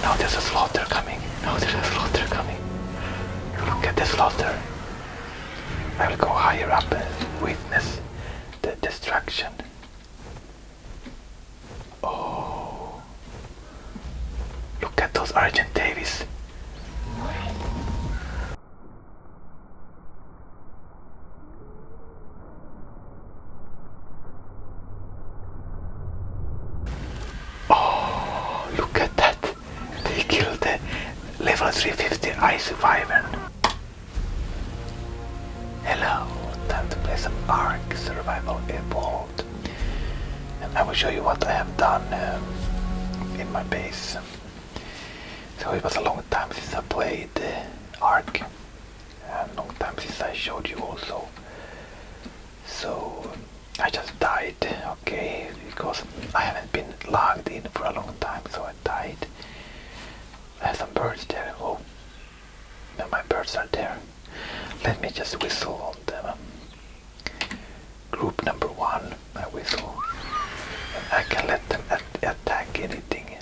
Now there's a slaughter coming. Now there's a slaughter coming. Look at the slaughter. I will go higher up and witness the destruction. Oh. Look at those Argent Davies. Oh, look at that. They killed the level 350 ice wyvern. Hello, time to play some Ark Survival Evolved. And I will show you what I have done um, in my base. So it was a long time since I played uh, Ark. And long time since I showed you also so I just died okay because I haven't been logged in for a long time so I died I have some birds there oh my birds are there let me just whistle on them group number one I whistle and I can let them attack anything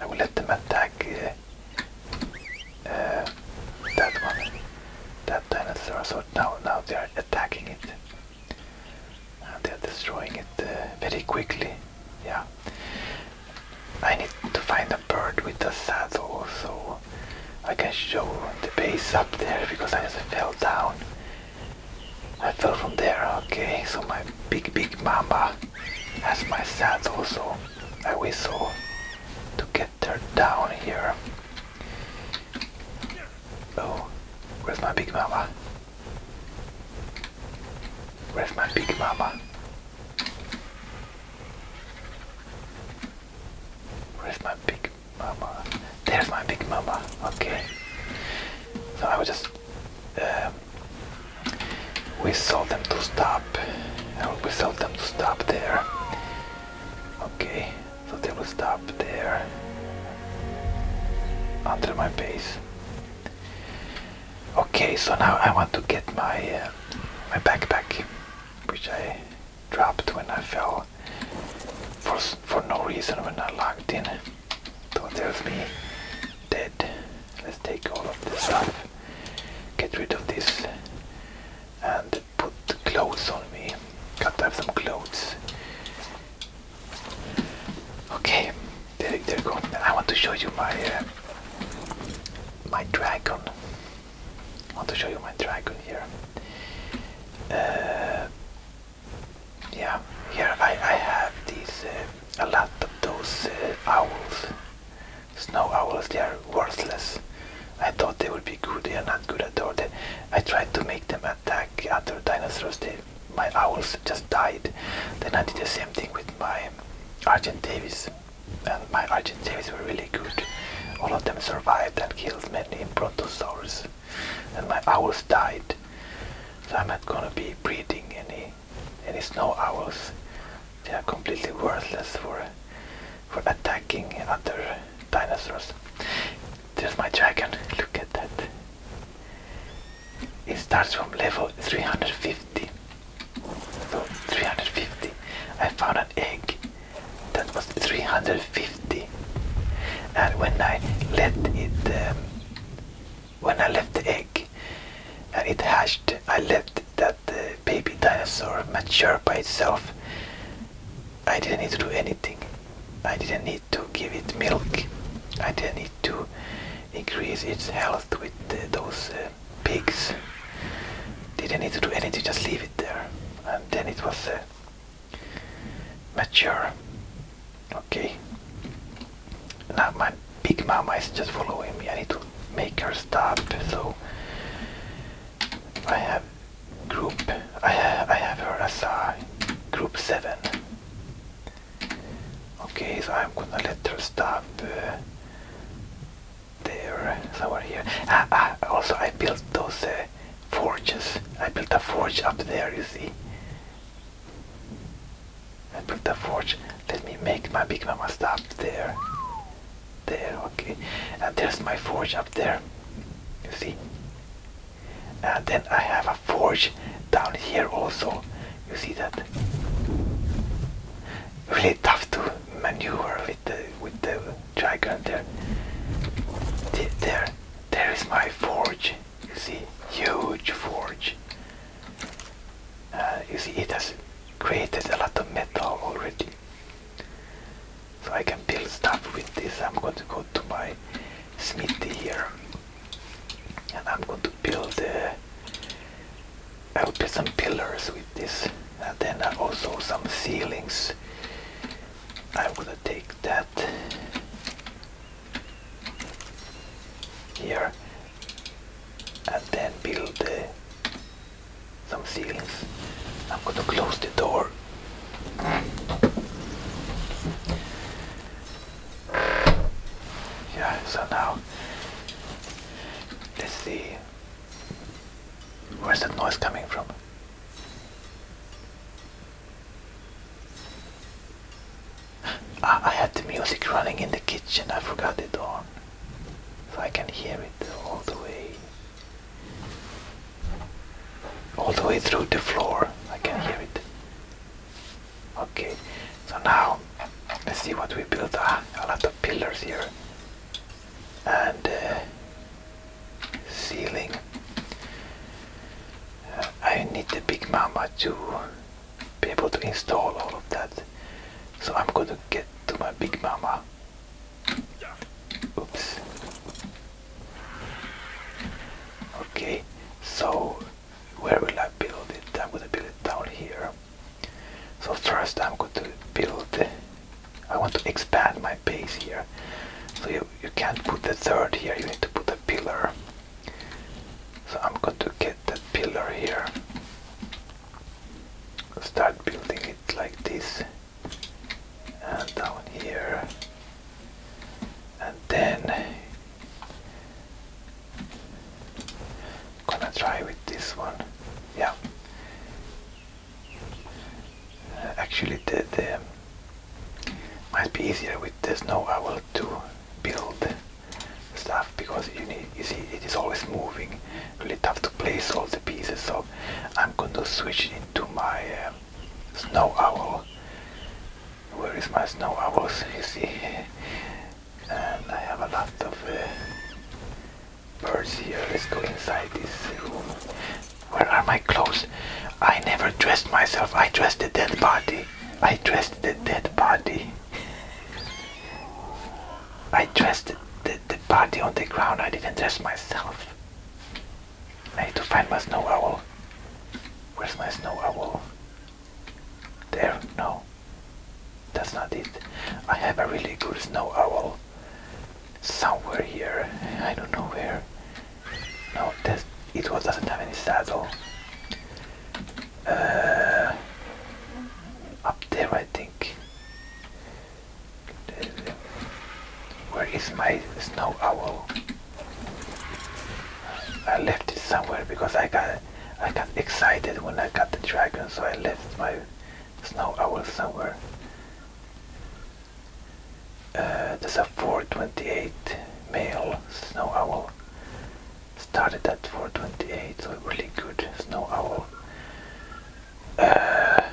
I will let them attack uh, uh, that one. That dinosaur. So now, now they are attacking it. And they are destroying it uh, very quickly. Yeah. I need to find a bird with a saddle so I can show the base up there because I just fell down. I fell from there, okay, so my big big mama has my saddle so I whistle to get her down here. Oh, where's my big mama? Where's my big mama? Where's my big mama? There's my big mama. Okay. So I was just. Um, we saw them to stop. I will tell them to stop there. Okay, so they will stop there. Under my base. Okay, so now I want to get my uh, my backpack, which I dropped when I fell for for no reason when I locked in. So there's me dead. Let's take all of this stuff. Get rid of this and put clothes on me. Got to have some clothes. Okay, there, there you go. I want to show you my uh, my dragon. I want to show you my dragon here. Uh, yeah, here I, I have these uh, a lot of those owls. Snow owls, they are worthless. I thought they would be good, they are not good at all. I tried to make them attack other dinosaurs, my owls just died. Then I did the same thing with my Argent And my Argent were really good. All of them survived and killed many brontosaurs. And my owls died. So I'm not gonna be breeding any any snow owls. They are completely worthless for for attacking other dinosaurs. There's my dragon. Look at that. It starts from level 350. So 350. I found an egg that was 350, and when I let it, um, when I left the egg and it hatched, I left that the baby dinosaur matured by itself. I didn't need to do anything. I didn't need to give it milk. I didn't need to increase its health with those uh, pigs. Didn't need to do anything, just leave it there. And then it was uh, mature. Okay. Now my pig mama is just following me. I need to make her stop. So I have group. I I have her as a group seven. Okay, so I'm gonna let her stop uh, there somewhere here. Ah, ah, also, I built those uh, forges. I built a forge up there. You see. I built a forge. Let me make my big mama stop there there okay and there's my forge up there you see and then I have a forge down here also you see that really tough to maneuver with the with the giant there there there is my forge you see huge forge uh, you see it has created a lot of metal already so I can build stuff with this. I'm going to go to my smithy here. And I'm going to build, I uh, will build some pillars with this. And then also some ceilings. I'm going to take that here and then build the some ceilings. I'm going to close the door. Yeah, so now let's see where's that noise coming from. Ah, I had the music running in the kitchen, I forgot it on. So I can hear it all the way. All the way through the floor. I can hear it. Okay, so now let's see what we built. Ah, a lot of pillars here. And uh, ceiling. Uh, I need the Big Mama to be able to install all of that. So I'm going to get to my Big Mama Oops. Okay, so where will I build it? I'm gonna build it down here. So first I'm going to build, I want to expand my base here. So you, you can't put the third here, you need to put a pillar. So I'm going to get that pillar here. Start building it like this and down here and then gonna try with this one yeah actually the, the might be easier with the snow owl to build stuff because you need you see it is always moving really tough to place all the pieces so I'm gonna switch into my uh, snow owl where is my snow owls you see and I have a lot of uh, birds here let's go inside this room where are my clothes I never dressed myself I dressed the dead body I dressed the dead body I dressed the the, the body on the ground. I didn't dress myself. I need to find my snow owl. Where's my snow owl? There? No. That's not it. I have a really good snow owl. Somewhere here. I don't know where. No, that's, it doesn't have any saddle. Uh, up there, I think. Where is my snow owl? I left it somewhere because I got I got excited when I got the dragon, so I left my snow owl somewhere. Uh, there's a 428 male snow owl. Started at 428, so really good snow owl there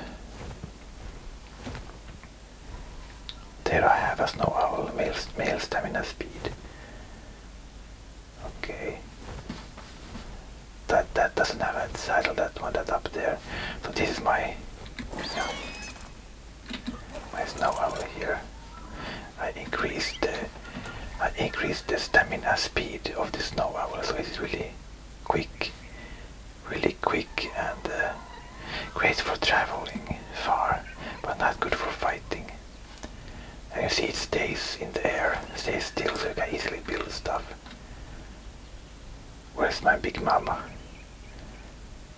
uh, I have a snow owl, male, stamina speed. Okay. That that doesn't have a title, that one that's up there. So this is my my snow owl here. I increased the I increased the stamina speed of the snow owl, so it's really quick, really quick and uh, great for traveling far, but not good for fighting. And you see it stays in the air, stays still so you can easily build stuff. Where's my big mama?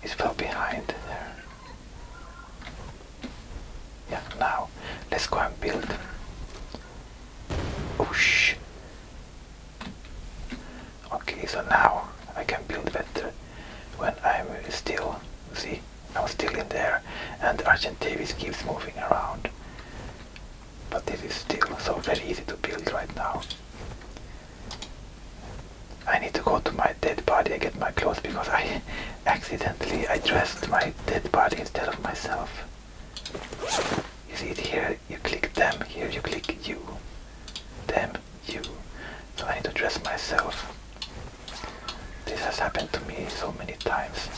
It fell behind there. Yeah, now let's go and build. Oosh! Oh, Okay, so now I can build better when I'm still, see, I'm still in there and Argent keeps moving around. But this is still so very easy to build right now. I need to go to my dead body and get my clothes because I accidentally I dressed my dead body instead of myself. You see it here, you click them, here you click you. Them, you. So I need to dress myself. This has happened to me so many times.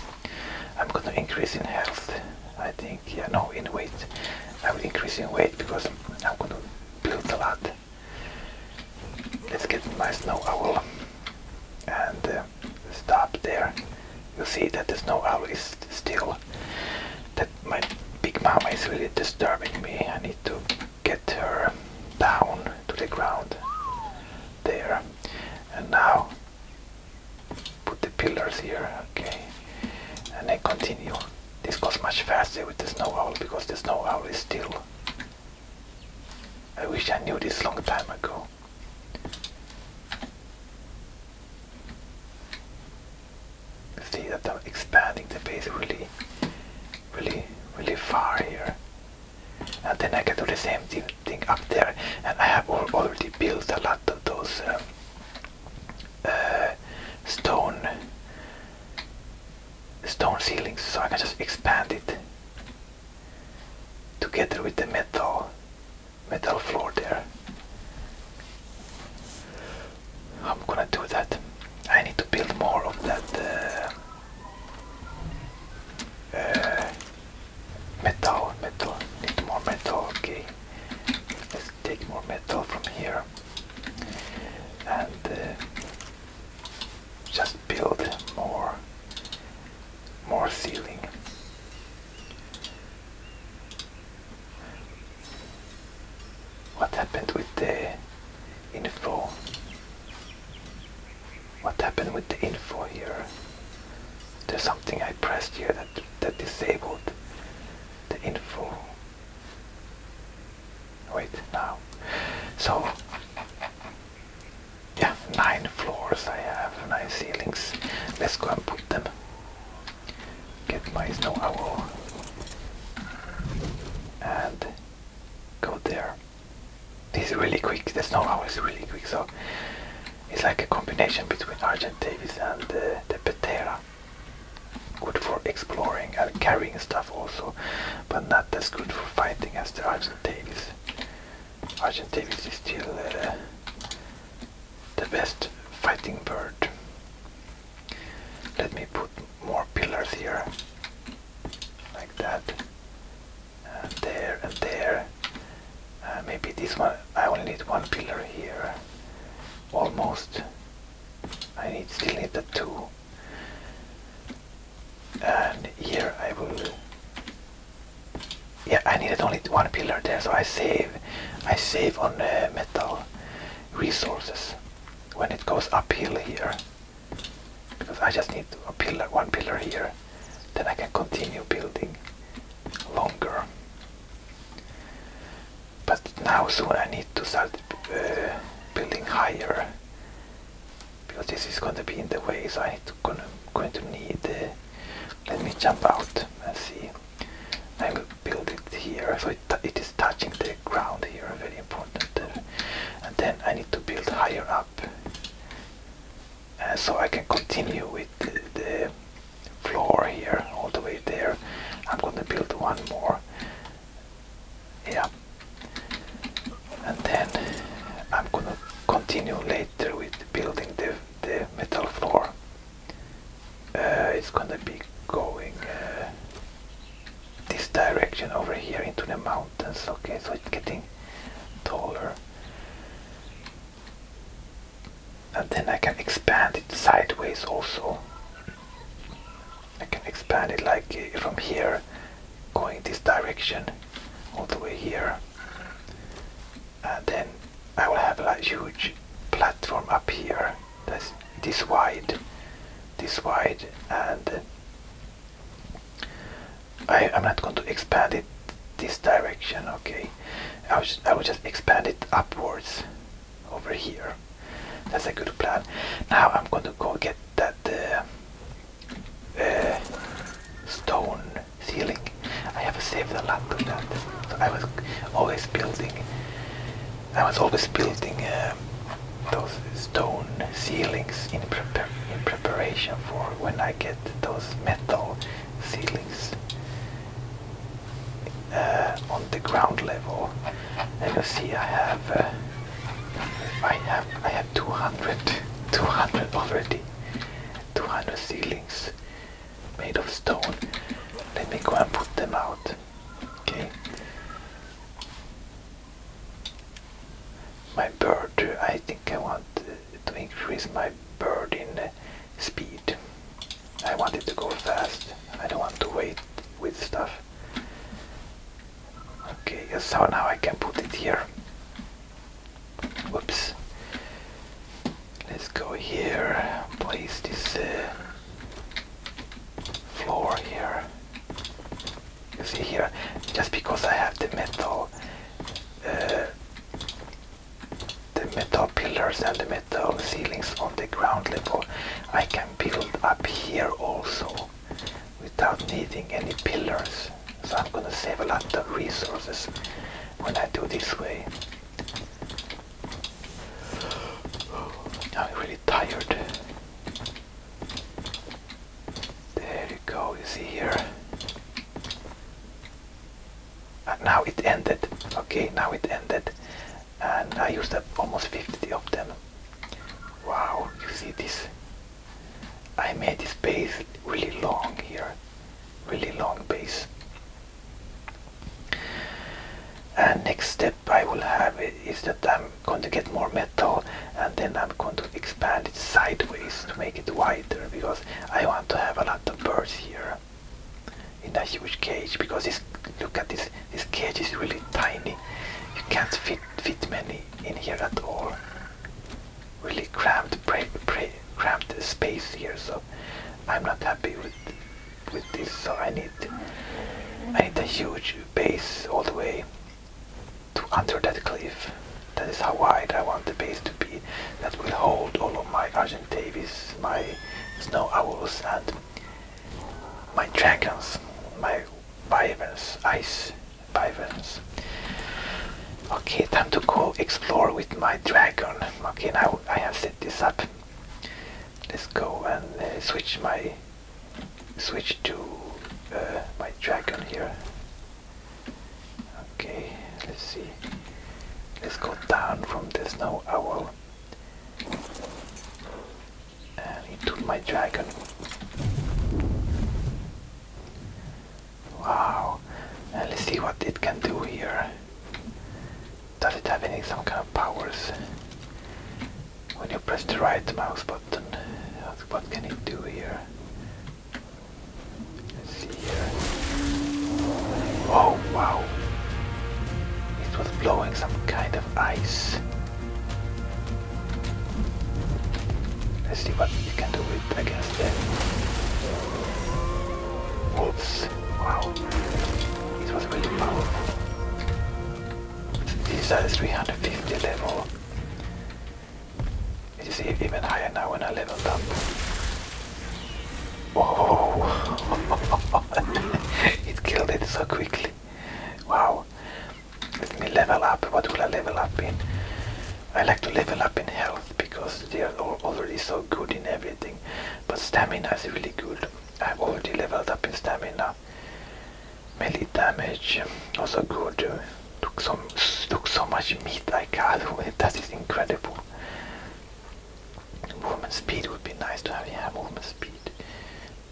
I'm gonna increase in health. I think, yeah, no, in weight. I will increase in weight because I'm gonna build a lot. Let's get my snow owl. And uh, stop there, you see that the snow owl is still. That my big mama is really disturbing me. I need to get her down to the ground. There. And now put the pillars here. Okay. And then continue. This goes much faster with the snow owl because the snow owl is still. I wish I knew this long time ago. See that I'm expanding the base really, really, really far here. And then I can do the same thing up there. And I have already built a lot of those um, uh, stone stone ceilings, so I can just expand it together with the metal metal floor there. I'm gonna do that. I need to build more of that uh, uh, metal, metal, need more metal, okay. Let's take more metal from here and uh, just build more, more ceiling. What happened with the info? What happened with the info here? There's something I pressed here that that disabled the info. Wait now. So yeah, nine floors I have, nine ceilings. Let's go and put them get my snow owl and go there. This is really quick, the snow owl is really quick, so it's like a combination between Argent Davis and uh, the Patera. Good for exploring and carrying stuff also, but not as good for fighting as the Argent Davis. Argent Davis is still uh, the best fighting bird. Let me put more pillars here, like that, and there and there. Uh, maybe this one, I only need one pillar here, almost. I need still need the two. And here I will yeah I needed only one pillar there so I save I save on uh, metal resources when it goes uphill here because I just need a pillar one pillar here then I can continue building longer but now soon I need to start uh, building higher because this is going to be in the way so I am going to need uh, let me jump out and see. I will build it here, so it, it is touching the ground here, very important And then I need to build higher up, so I can continue with the, the floor here, all the way there. I'm gonna build one more, yeah. And then I'm gonna continue later with building the the metal floor uh, it's gonna be going uh, this direction over here into the mountains okay so it's getting taller and then I can expand it sideways also I can expand it like uh, from here going this direction all the way here and then I will have a huge platform up here that's this wide this wide and I, am not going to expand it this direction okay I will, just, expand it upwards over here that's a good plan now I'm going to go get that uh, uh, stone ceiling. I have saved a lot to that. So I was always building. I was always building um, those stone ceilings in, preparation for when I get those metal ceilings uh, on the ground level. And you see, I have, uh, I have, I have 200, 200 already, 200 ceilings made of stone. Let me go and put them out. Okay. My bird, I think I want to increase my bird in speed. I want it to go fast. I don't want to wait with stuff. Okay, so now I can put it here. Whoops. Let's go here, place this uh, floor here. You see here, just because I have the metal, uh, the metal pillars and the metal ceilings on the ground level, I can build up here also without needing any pillars. So I'm gonna save a lot of resources when I do this way. I'm really tired. There you go, you see here. now it ended. Okay, now it ended. And I used up almost 50 of them. Wow, you see this? I made this base really long here. Really long base and next step I will have is that I'm going to get more metal and then I'm going to expand it sideways to make it wider because I want to have a lot of birds here in a huge cage because this look at this this cage is really tiny you can't fit fit many in here at all really cramped cramped space here so I'm not happy with with this so I need I need a huge base all the way to under that cliff that is how wide I want the base to be that will hold all of my Argentavis, my snow owls and my dragons, my wyverns, ice wyverns. Okay, time to go explore with my dragon. Okay, now I have set this up. Let's go and uh, switch my switch to uh, my dragon here. Okay, let's see. Let's go down from the snow owl and uh, into my dragon. Wow. let's see what it can do here. Does it have any some kind of powers? When you press the right mouse button, what can it do here? Let's see here. Oh wow! It was blowing some kind of ice. Let's see what you can do with against the wolves. Wow. It was really powerful. These are 350 level. you see even higher now when I level up. Oh, it killed it so quickly. Wow. Let me level up. What will I level up in? I like to level up in health because they are already so good in everything but stamina is really good. i already leveled up in stamina. Melee damage also good. Took some took so much meat I got That is incredible. Movement speed would be nice to have. Yeah, movement speed.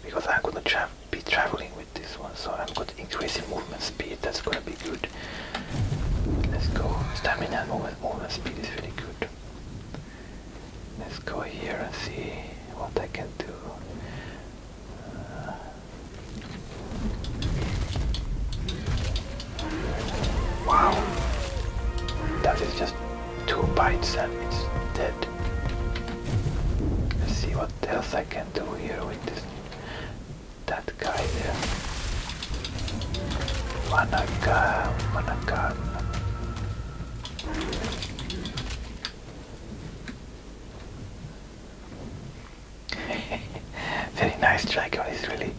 Because I'm gonna be traveling with this one, so I'm gonna increase in movement speed. That's gonna be good good. Let's go. Stamina at moment, movement speed is really good. Let's go here and see what I can do. Uh, wow. That is just two bites and it's dead. Let's see what else I can do here with this. That guy there. Very nice dragon, it's really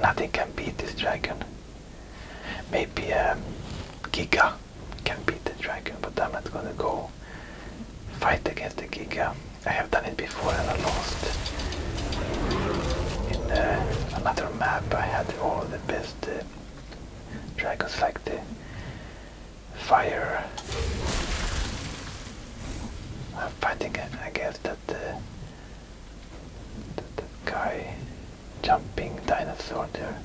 nothing can beat this dragon. Maybe a um, Giga can beat the dragon, but I'm not gonna go fight against the Giga. I have done it before before and I lost. In uh, another map I had all the best uh, dragons like the fire. I'm fighting uh, I guess that, that guy jumping dinosaur there.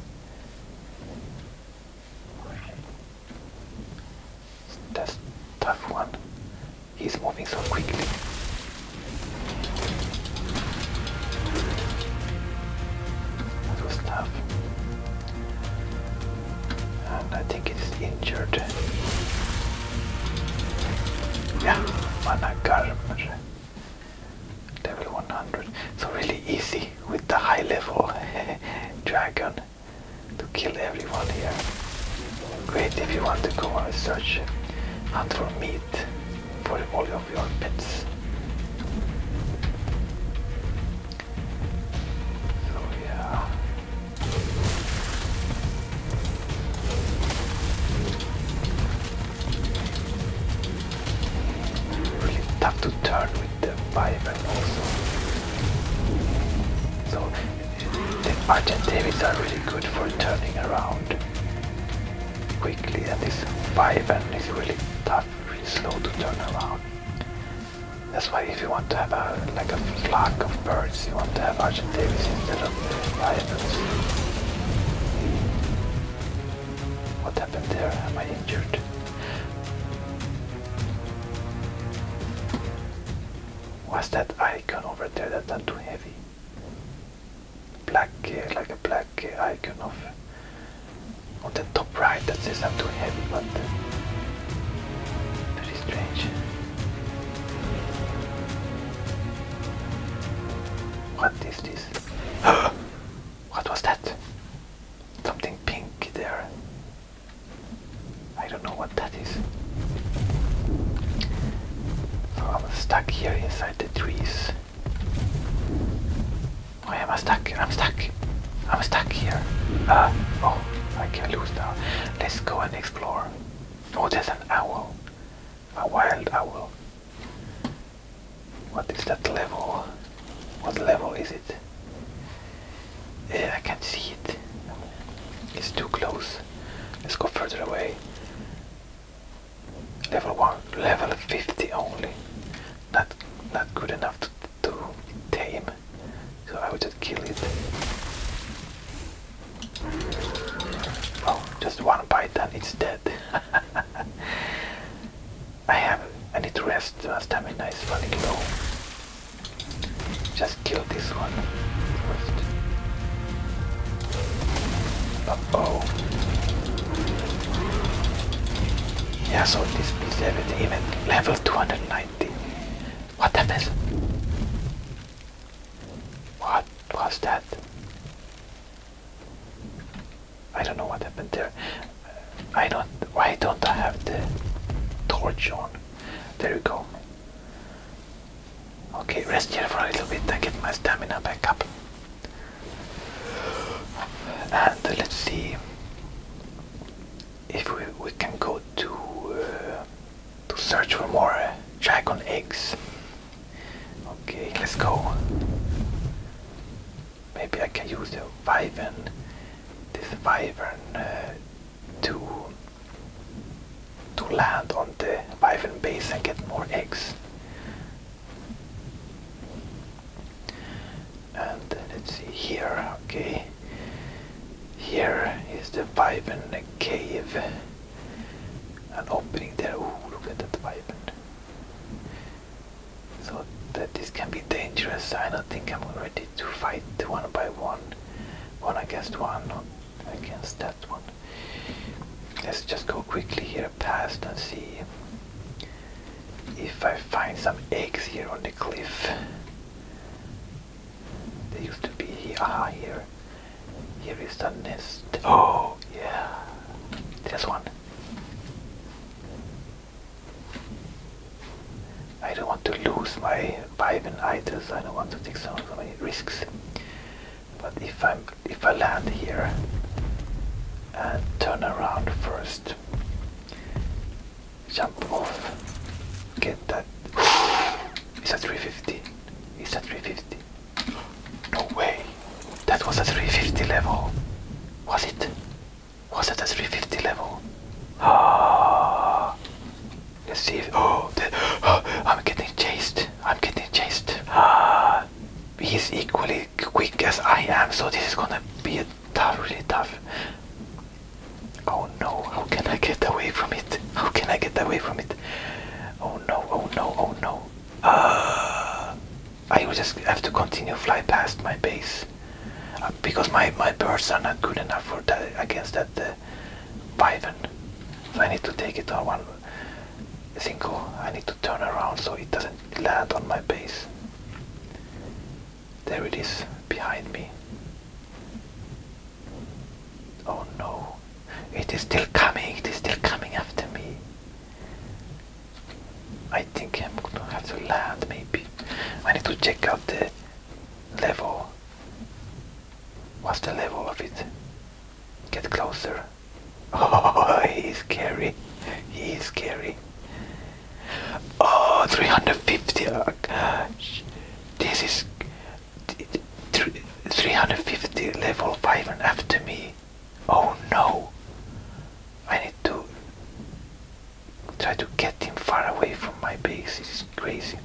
That's tough one. He's moving so quickly. That was tough. And I think it's injured. Yeah, Managarmer. Uh, level 100. So really easy with the high level dragon to kill everyone here. Great if you want to go on a search hunt for meat for all of your pets. So yeah. Really tough to turn with the Bible also. So the Davies are really good for turning around quickly and this 5 and is really tough, really slow to turn around. That's why if you want to have a like a flock of birds, you want to have Argent instead of Lions. What happened there? Am I injured? Was that icon over there that not too heavy? black uh, like a black uh, icon of on the top right that says I'm too heavy but uh, very strange what is this what was that something pink there I don't know what that so I'm stuck here inside the trees. Why am I stuck? I'm stuck. I'm stuck here. Uh, oh, I can not lose now. Let's go and explore. Oh, there's an owl. A wild owl. What is that level? What level is it? I can't see it. It's too close. Let's go further away. Level one, level fifty only. Not not good enough to, tame. So I will just kill it. Oh, just one bite and it's dead. I have I need to rest. My stamina is running low. Just kill this one first. oh. Yeah, so this is even level 290. What happens? What was that? I don't know what happened there. I don't. Why don't I have the torch on? There you go. Okay, rest here for a little bit and get my stamina back up. And let's see if we, we can go to uh, to search for more dragon eggs. Okay, let's go. Maybe I can use the vivan this vivan uh, to to land on the Wyvern base and get more eggs. And let's see here, okay. Here is the Wyvern cave. An opening there. Oh, look at that Wyvern. So that this can be dangerous. I don't think I'm ready to fight one by one. One against one against that one. Let's just go quickly here past and see if I find some eggs here on the cliff. They used to be here. Ah, here. Here is the nest. Oh, yeah. There's one. I don't want to lose my Vibe and items. I don't want to take so many risks. But if i if I land here and turn around first, jump off, get that. It's a 350. It's a 350. No way. That was a 350 level. Was it? Was it a 350 level? Ah, Let's see oh, I'm getting chased. I'm getting chased. Uh, he's equally quick as I am, so this is gonna be a tough, really tough. Oh no, how can I get away from it? How can I get away from it? Oh no, oh no, oh no. Uh, I will just have to continue fly past my base. Uh, because my, my birds are not good enough for that against that uh, the python. I need to take it on one single. I need to turn around so it doesn't land on my base. There it is behind me. Oh no. It is still coming. It is still coming after me. I think I'm gonna have to land maybe. I need to check out the level. What's the level of it? Get closer. Oh, he's scary. He's scary. Oh, 350. Uh, this is 350 level 5 and after me. Oh no. I need to try to get him far away from my base. It's crazy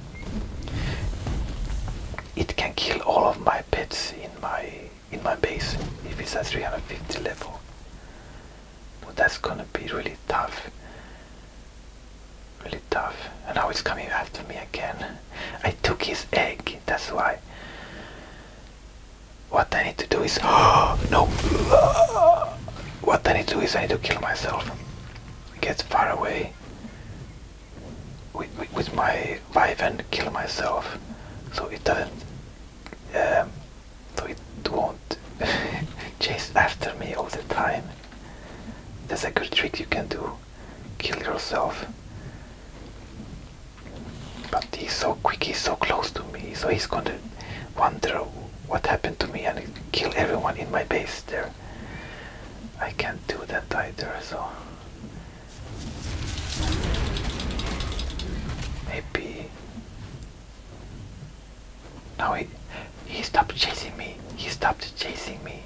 it can kill all of my pets in my in my base if it's at 350 level. But that's gonna be really tough. Really tough. And now it's coming after me again. I took his egg, that's why. What I need to do is oh, no what I need to do is I need to kill myself. Get far away with, my wife and kill myself so it doesn't um, so it won't chase after me all the time that's a good trick you can do kill yourself but he's so quick he's so close to me so he's gonna wonder what happened to me and kill everyone in my base there I can't do that either, so maybe now he he stopped chasing me. He stopped chasing me.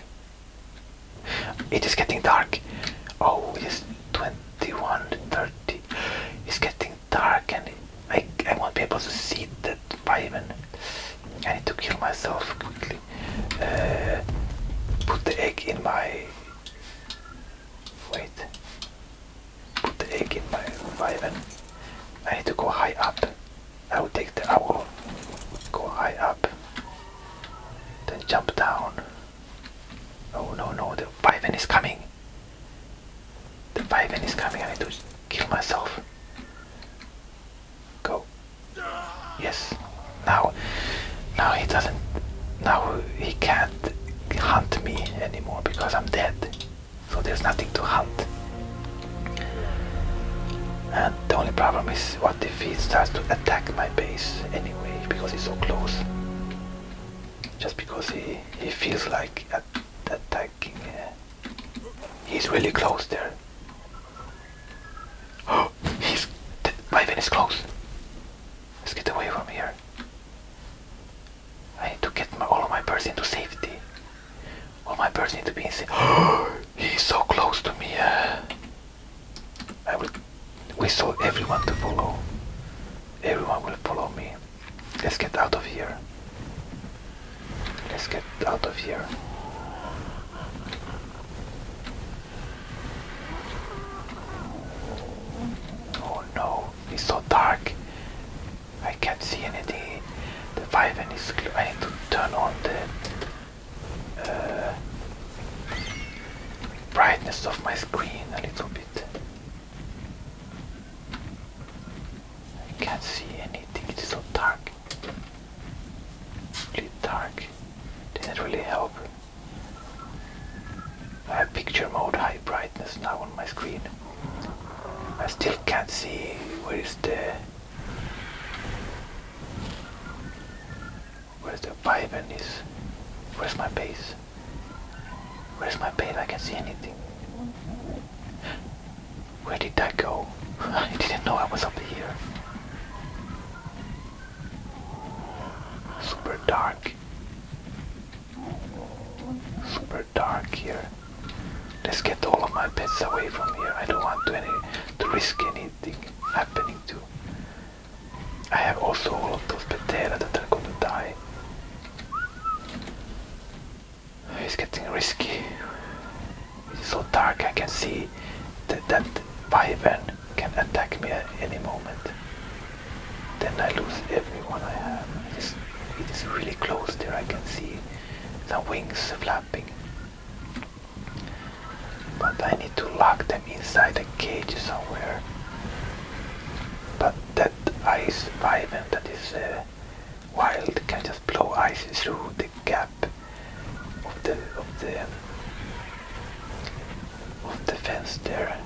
It is getting dark. Oh, it is 21:30. It's getting dark, and I I won't be able to see that Raven. I need to kill myself quickly. Uh, put the egg in my. Wait. Put the egg in my oven. I need to go high up. I will take the owl. Go high up. Then jump down. Oh no no! The Viven is coming. The Viven is coming. I need to kill myself. Go. Yes. Now, now he doesn't. Now he can't hunt me anymore because I'm dead. So there's nothing to hunt. And the only problem is what if he starts to attack my base anyway because he's so close. Just because he, he feels like attacking. Uh, he's really close there. Oh! He's Raven is close. Let's get away from here. I need to get all of my birds into safety. All my birds need to be in safety. He's so close to me. I will whistle everyone to follow. Everyone will follow me. Let's get out of here. Let's get out of here. Oh no, it's so dark. I can't see anything. The Viven is I need to turn on the uh, brightness of my screen a little bit. I can't see anything, it's so dark. Really dark. Didn't really help. I have picture mode high brightness now on my screen. I still can't see where is the where's the Viben is. Where's my base? Where's my base? I can't see anything. Where did that go? I didn't know I was up here. Super dark. Super dark here. Let's get all of my pets away from here. I don't want to any to risk anything happening to. I have also all of those petera that are gonna die. It's getting risky. It's so dark I can see that that can attack me at any moment. Then I lose everyone I have. It is, really close there. I can see the wings flapping. But I need to lock them inside the cage somewhere. But that ice wyvern that is uh, wild can just blow ice through the gap of the of the of the fence there.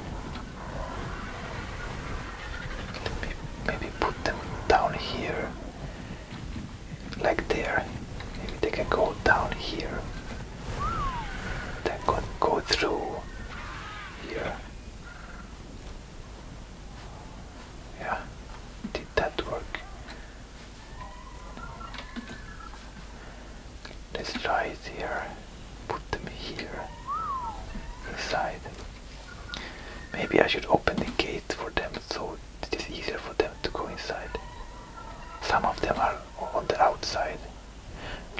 Let me maybe put them down here, like there. Maybe they can go down here. Then go go through here. Yeah, did that work? Let's try it here. Put them here. Inside. Maybe I should open the gate for them so it is easier for them to go inside. Some of them are on the outside.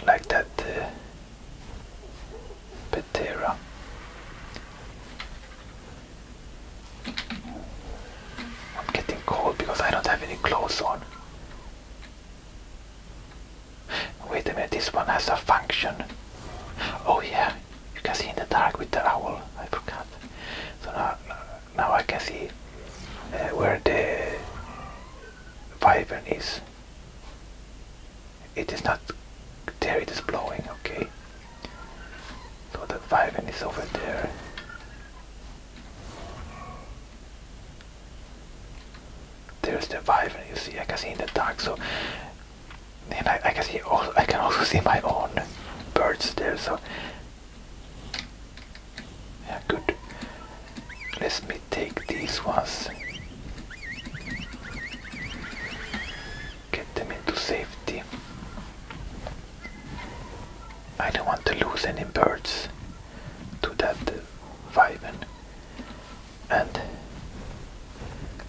Like that uh, Petera. I'm getting cold because I don't have any clothes on. Wait a minute, this one has a function. Oh yeah, you can see in the dark with the owl. I forgot. So now, now I can see uh, where the wyvern is. It is not there, it is blowing, okay. So the wyvern is over there. There's the viper. you see I can see in the dark. So, and I, I can see also I can also see my own birds there. So, yeah, good. Let me take these ones. Get them into safety. I don't want to lose any birds to that viben. And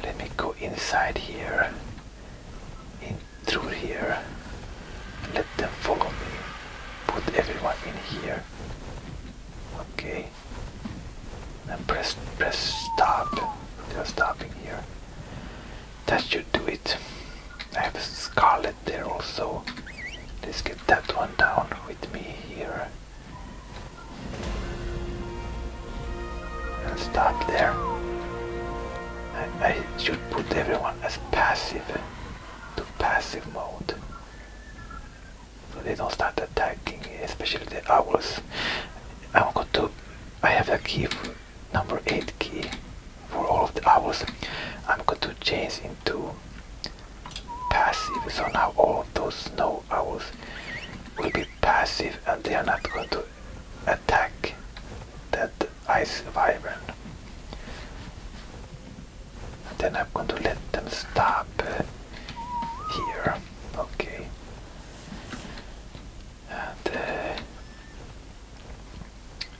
let me go inside here, in through here. Let them follow me. Put everyone in here. Okay. And press press stop. They are stopping here. That should do it. I have a scarlet outlet there also. Let's get that one down with me here. And stop there. I, I should put everyone as passive to passive mode. So they don't start attacking, especially the owls. I'm going to I have a key number 8 key for all of the hours I'm going to change into passive so now all of those snow hours will be passive and they are not going to attack that ice wyvern then I'm going to let them stop uh, here okay and uh,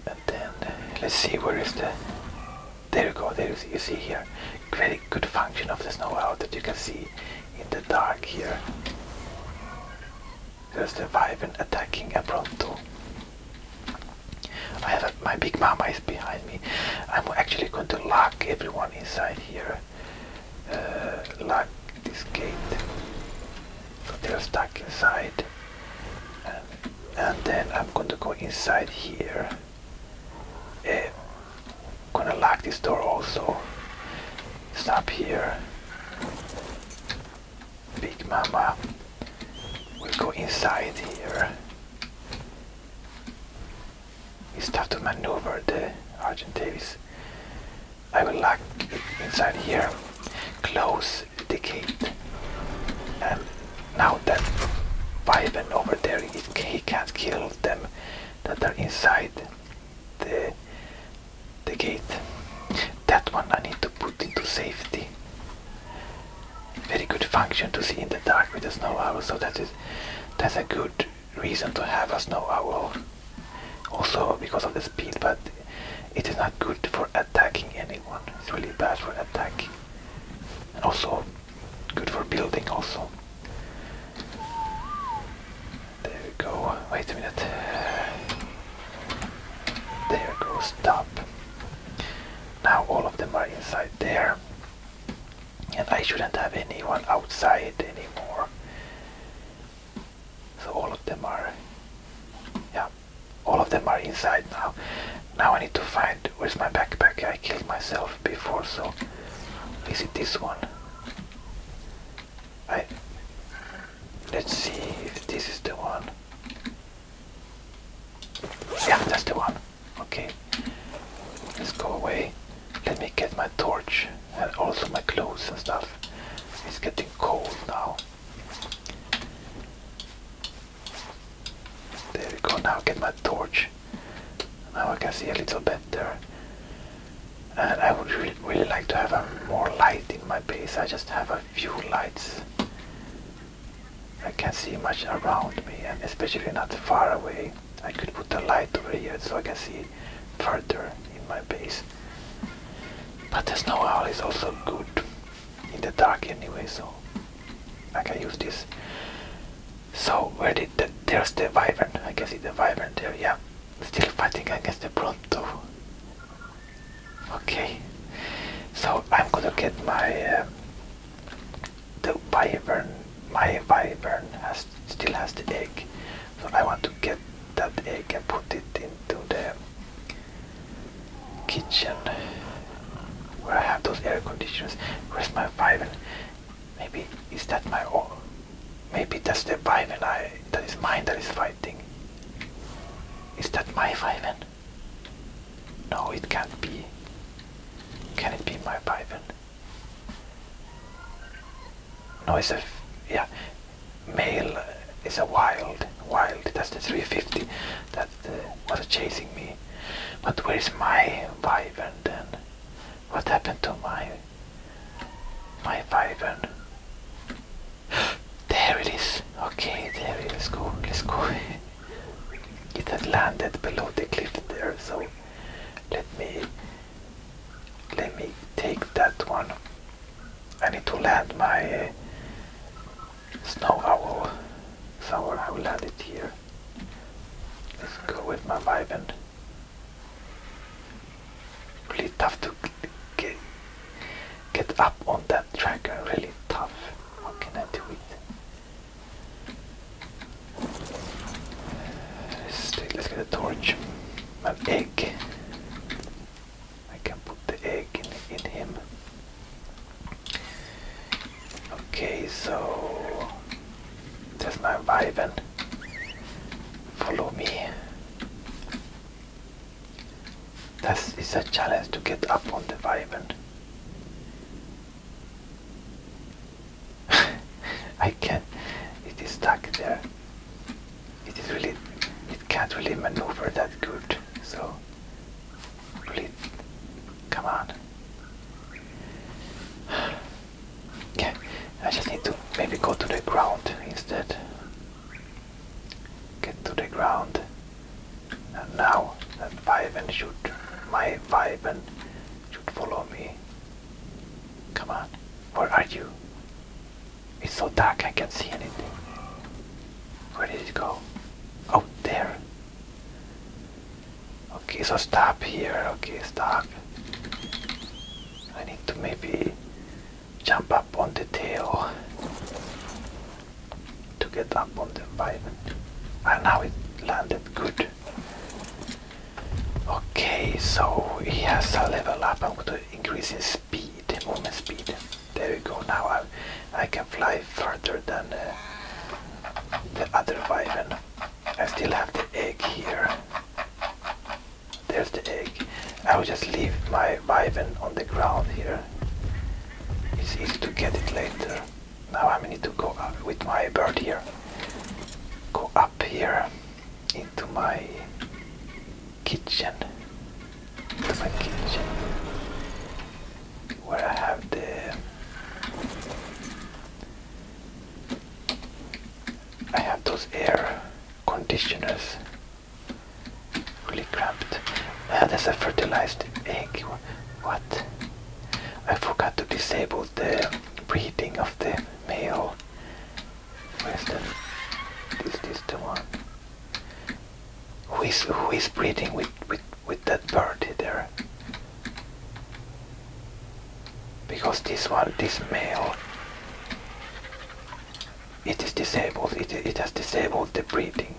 and then let's see where is the there you go there you see, here very good function of the snow out that you can see in the dark here there's the Wyvern attacking a Pronto I have my big mama is behind me I'm actually going to lock everyone inside here uh, lock this gate they're stuck inside and, then I'm going to go inside here uh, gonna lock this door also stop here Big Mama will go inside here We start to maneuver the Argent I will lock inside here close is decayed. And now that Viven over there, he can't kill them that are inside the, the gate. That one I need to put into safety. Very good function to see in the dark with a snow owl, so that is that's a good reason to have a snow owl. Also because of the speed, but it is not good for attacking anyone. It's really bad for attacking. also good for building also. There we go. Wait a minute. There goes top. Now all of them are inside there. And I shouldn't have anyone outside anymore. So all of them are yeah, all of them are inside now. Now I need to find where's my backpack. I killed myself before, so is it this one? I let's see if this is the one. Yeah, that's the one. Okay. Let's go away. Let me get my torch and also my clothes and stuff. It's getting cold now. There we go, now get my torch. Now I can see a little better. And I would re really like to have a more light in my base. I just have a few lights. I can't see much around me and especially not far away. I could put a light over here so I can see further in my base. But the snow owl is also good in the dark anyway, so I can use this. So where did the there's the Wyvern? I can see the Wyvern there, yeah. Still fighting against the Bronto. Okay. So I'm gonna get my uh, the Wyvern my Wyvern has still has the egg. So I want to get that egg and put it into the kitchen where I have those air conditioners. Where's my Viven? Maybe is that my own? Maybe that's the Viven I that is mine that is fighting. Is that my Viven? No, it can't be. Can it be my Viven? No, it's a yeah. Male is a wild, wild. That's the 350. That uh, was chasing me. But where's my wyvern then? What happened to my my wyvern? there it is. Okay, there it go. Let's go. it had landed below the cliff there, so let me let me take that one. I need to land my uh, snow owl. So I will add it here. Let's go with my vibe and really tough to get get up on that tracker. Uh, really tough. How can I do it? Let's, take, let's get a torch. An egg. I can put the egg in, in him. Okay, so there's my Viven. Follow me. That is a challenge to get up on the Viven. I can. It is stuck there. It is really. It can't really maneuver that good. So Come on. Okay, I just need to maybe go to the ground instead. Get to the ground. And now that Viven should, my Viven should follow me. Come on, where are you? It's so dark I can't see anything. Where did it go? Out oh, there. Okay, so stop here. Okay, stop. I need to maybe jump up on the tail to get up on the environment. And ah, now it landed good. Okay, so he has to level up. and am going increase his speed, movement speed. There we go. Now I, I can fly further than uh, the other wyvern. I still have the egg here. There's the egg. I will just leave my wyvern on the ground here. It's easy to get it later. Now I need to go up with my bird here. Go up here into my kitchen to my kitchen where I have the I have those air conditioners really cramped. Ah, there's a fertilized egg. What? I forgot to disable the breeding of the male. Where's the? This Is the one? Who is who is breathing with with with that bird there? Because this one, this male, it is disabled. It it has disabled the breathing.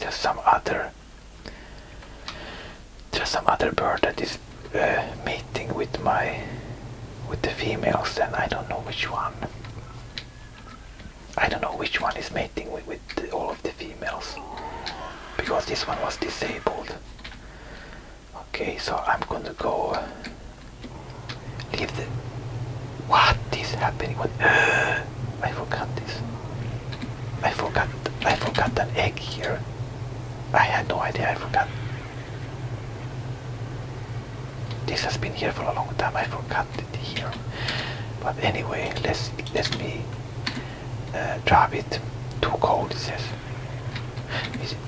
There's some other. There's some other bird that is uh, mating with my with the females, and I don't know which one. I don't know which one is mating with, all of the females because this one was disabled. Okay, so I'm gonna go leave the. What is happening? What? Uh, I forgot this. I forgot. I forgot an egg here. I had no idea. I forgot. This has been here for a long time. I forgot it here. But anyway, let's let me uh, drop it. Too cold, it says.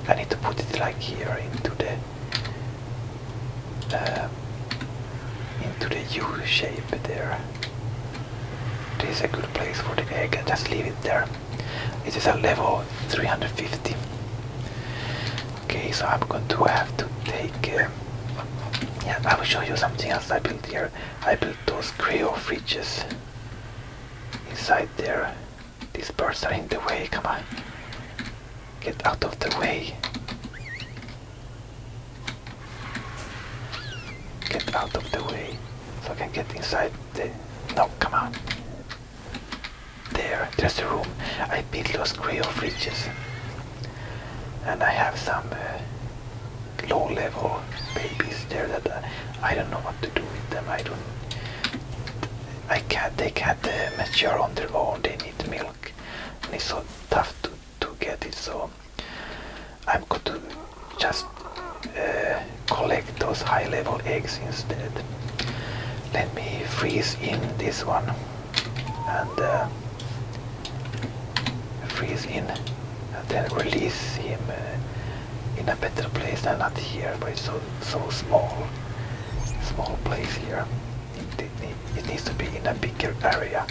I need to put it like here into the uh, into the U shape there. This is a good place for the egg. just leave it there. It is a level 350. Okay, so I'm going to have to take. Um, yeah, I will show you something else I built here. I built those creo fridges inside there. These birds are in the way. Come on, get out of the way. Get out of the way, so I can get inside the. No, come on. There, there's a room. I built those creo fridges and I have some uh, low level babies there that uh, I don't know what to do with them I don't I can't they can't uh, mature on their own they need milk and it's so tough to, to get it so I'm going to just collect those high level eggs instead let me freeze in this one and uh, freeze in and then release him uh, in a better place than not here but it's so, so small small place here it, needs to be in a bigger area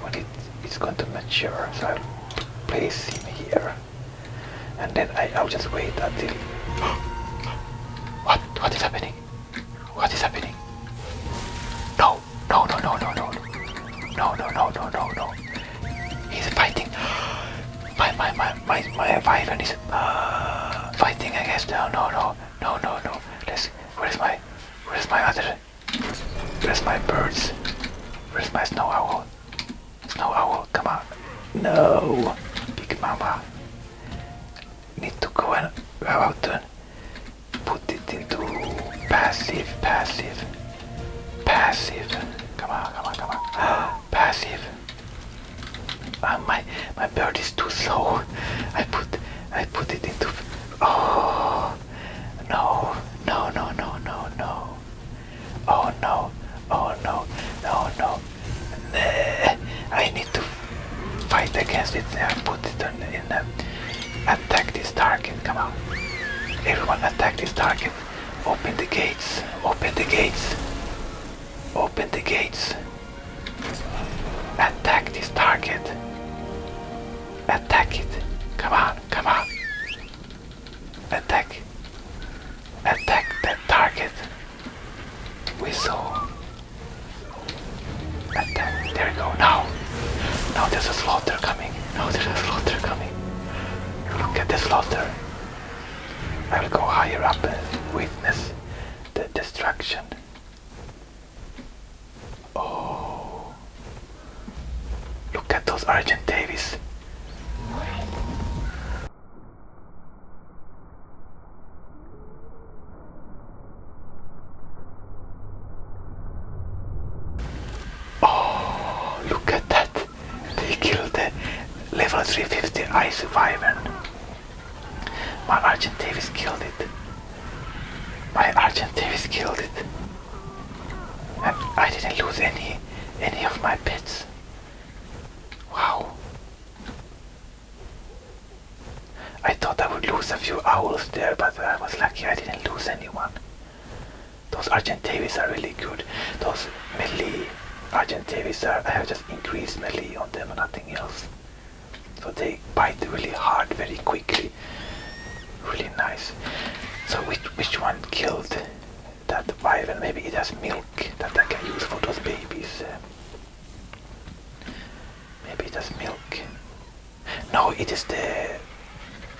when it, it's going to mature so I'll place him here and then I, I'll just wait until what what is happening what is happening? No, no, no, no, no, no, no, no, no, no, no, no. He's fighting. My, my, my, my, my violin is uh, fighting against. No, uh, no, no, no, no, no. Let's. Where's my, where's my other? Where's my birds? Where's my snow owl? Snow owl, come on. No, big mama. Need to go and go out and put it into passive, passive, passive. Come on, come on, come on. passive. Uh, my my bird is too slow. I put I put it into. Oh no no no no no no. Oh no oh no no no. I need to fight against it and put it in uh, attack this target come on everyone attack this target open the gates open the gates open the gates attack this target attack it come on come on attack attack that target we saw and then, there we go. Now, now there's a slaughter coming. Now there's a slaughter coming. Look at the slaughter. I will go higher up and witness the destruction. Oh, look at those Argent Davies. Oh, look at that! They killed the level 350 ice wyvern. My Argent killed it. My Argent killed it. And I didn't lose any any of my bits. Wow. I thought I would lose a few owls there, but I was lucky I didn't lose anyone. Those Argentavis are really good. Those melee Argentavis are, I have just increased melee on them nothing else. So they bite really hard very quickly. Really nice. So which, which one killed that wyvern? Maybe it has milk that I can use for those babies. Uh, Maybe it has milk. No, it is the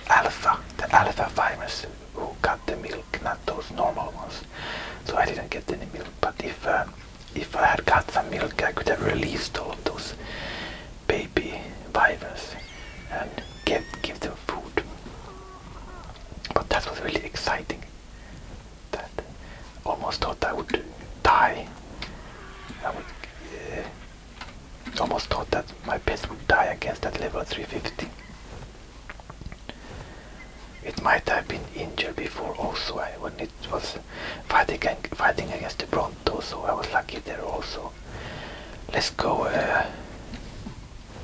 alpha, the alpha virus who got the milk, not those normal ones. So I didn't get any milk, but if um, if I had got some milk, I could have released all of those baby viruses and give give them food. But that was really exciting. That Almost thought I would die. I would. almost thought that my pets would die against that level 350. It might have been injured before also when it was fighting fighting against the Bronto, so I was lucky there also. Let's go uh,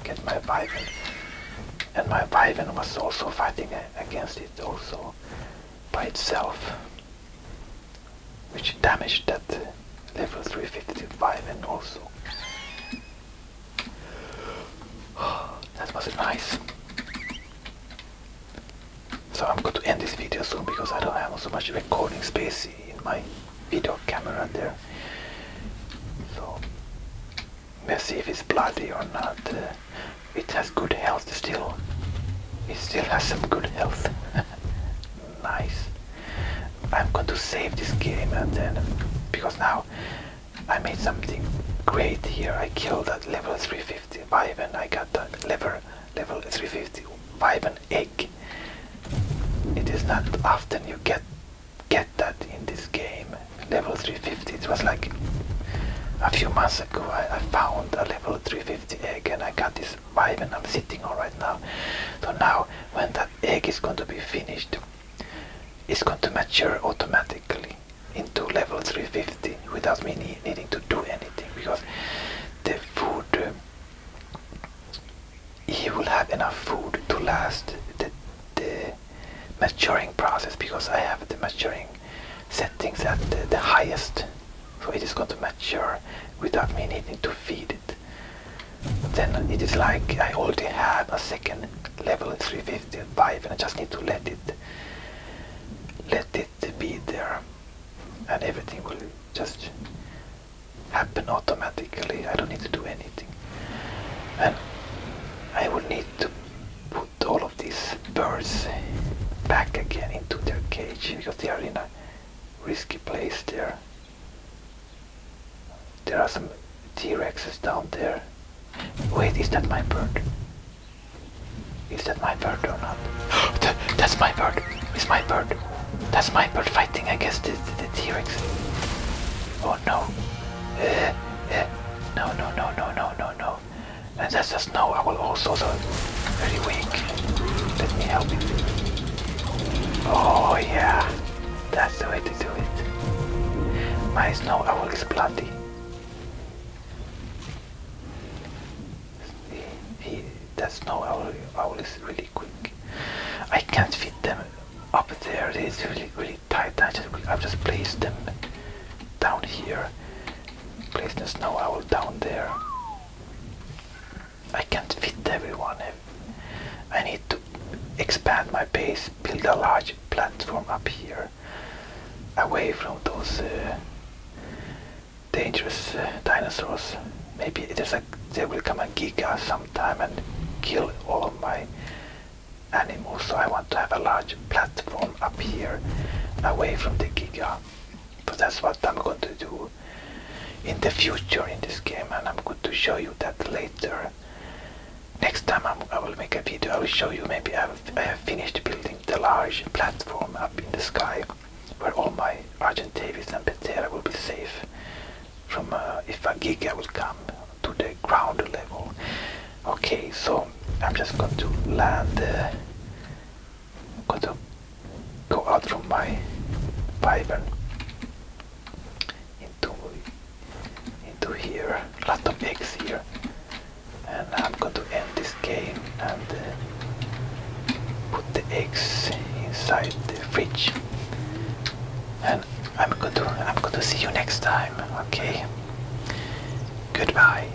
get my Viven. And my Viven was also fighting against it also by itself which damaged that level 355 and also that was nice so I'm going to end this video soon because I don't have so much recording space in my video camera there so let's see if it's bloody or not it has good health still. It still has some good health. nice. I'm going to save this game and then because now I made something great here. I killed that level 355 and I got the level level 350 egg. It is not often you get get that in this game. Level 350. It was like a few months I, found a level 350 egg and I got this vibe, and I'm sitting on right now. So now when that egg is going to be finished, it's going to mature automatically into level 350 without me needing to do anything because the food, uh, will have enough food to last the maturing process because I have the maturing settings at the, highest so it is going to mature without me needing to feed it then it is like I already have a second level 355 and I just need to let it let it be there and everything will just happen automatically I don't need to do anything and I would need to put all these birds back again into their cage because they are in a risky place there. There are some T-Rexes down there. Wait, is that my bird? Is that my bird or not? That's my bird! It's my bird! That's my bird fighting against the, the, T-Rex. Oh no, eh, eh. no, no, no, no, no, no. And that's the snow I will also the very weak. Let me help you. Oh yeah. That's the way to do it. My snow owl is bloody. He, he, that snow owl, owl is really quick. I can't fit them up there. It's really really tight. I just I've just placed them down here Place the snow owl down there. I can't fit everyone. I need to expand my base, build a large platform up here, away from those uh, dangerous uh, dinosaurs. Maybe there's a, they will come a giga sometime and kill all of my animals. So I want to have a large platform up here, away from the giga but that's what I'm going to do in the future in this game and I'm going to show you that later next time I'm, I will make a video I will show you maybe I have, I have finished building the large platform up in the sky where all my argentavis and Petera will be safe from uh, if a Giga will come to the ground level okay so I'm just going to land uh, going to go out from my Bible into into here, lot of eggs here, and I'm going to end this game and uh, put the eggs inside the fridge. And I'm going to I'm going to see you next time. Okay. Goodbye.